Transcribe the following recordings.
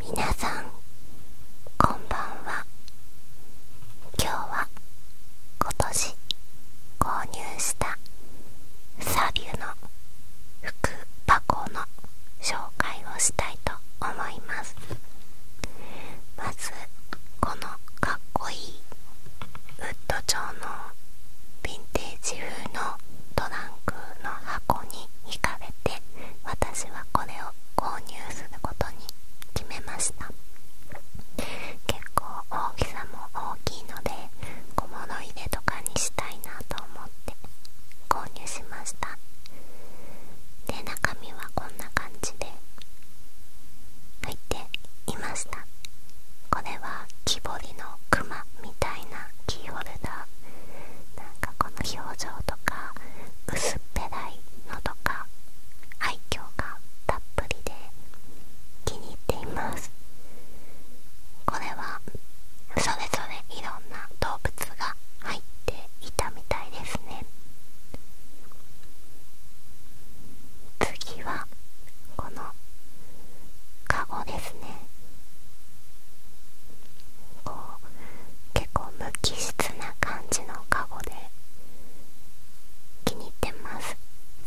皆さんこんばんは今日は今年購入したサビュの福箱の紹介をしたいと思いますまずこのかっこいいウッド調のヴィンテージ風のトランクの箱に惹かれて私はこれを購入することに決めました結構大きさも大きいので小物入れとかにしたいなと思って購入しましたで中身はこんな感じで入っていましたこれは木彫りの熊みみたいなキーホルダーなんかこの表情とか薄っぺらいのとか愛嬌がたっぷりで気に入っていますこれはそれぞれいろんな動物が入っていたみたいですね次はこのカゴですねこう結構無機質な感じのカゴで気に入ってます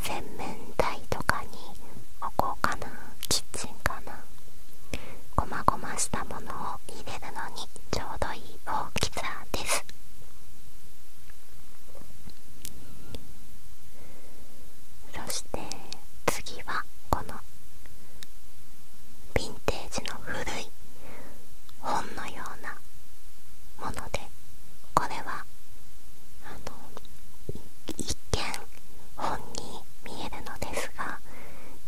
洗面台とかに置こうかなキッチンかなごまごましたものを入れるのにちょうどいい大きさですそして次はこのヴィンテージの古い本のようなものでこれは一見本に見えるのですが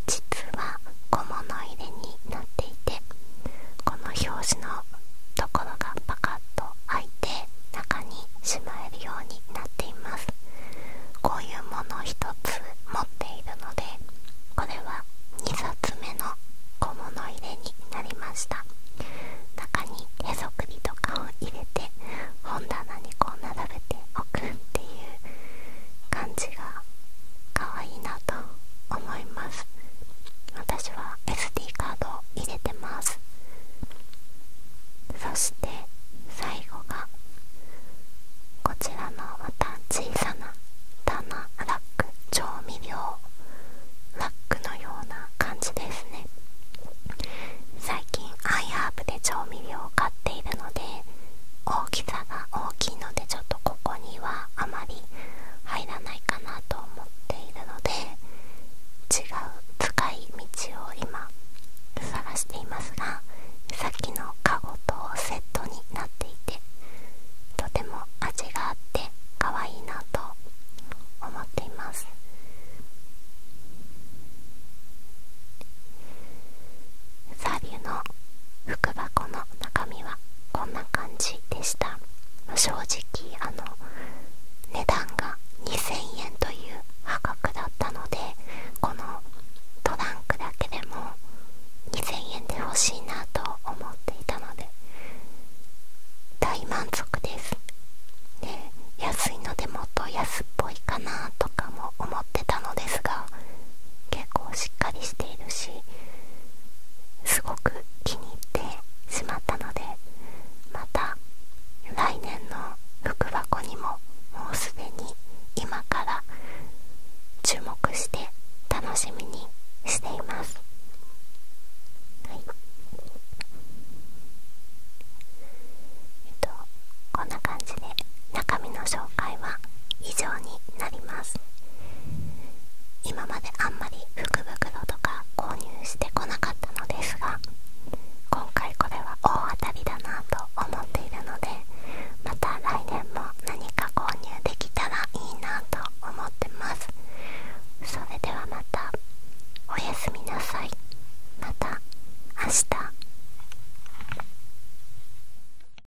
実は小物入れになっていてこの表紙のところがパカッと開いて中にしまえるようになっていますこういうものを1つ持っているのでこれは2冊目の小物入れになりました中にへそくりとかを入れて本棚にこう並べておくっていう感じが可愛いなと思います私は SD カードを入れてますそして最後がこちらのまた小さな棚ラック調味料ラックのような感じですね最近アイハーブで調味料を買っているので大きさが大きいのでちょっとここにはあまり入らないかな思っているので違う使い道を今探していますがさっきのカゴとセットになっていてとても味があって可愛いなと思っていますサービューの福箱の中身はこんな感じでした正直あの値段が2000円という破格だったのでこのトランクだけでも2000円で欲しいなと思っていたので大満足ですで安いのでもっと安っぽいかなとかも思ってたのですが結構しっかりしているしすごく気に入ってしまったのでまた来年の福箱にももうすでに今から注目して楽しみにしています、はい、えっとこんな感じで中身の紹介は以上になります今まであんまり福袋とか購入してこなかったのですが今回これは大当たりだなと思っているのでまた来年も何か購入できたらいいなと思ってますそれではまたおやすみなさいまた明日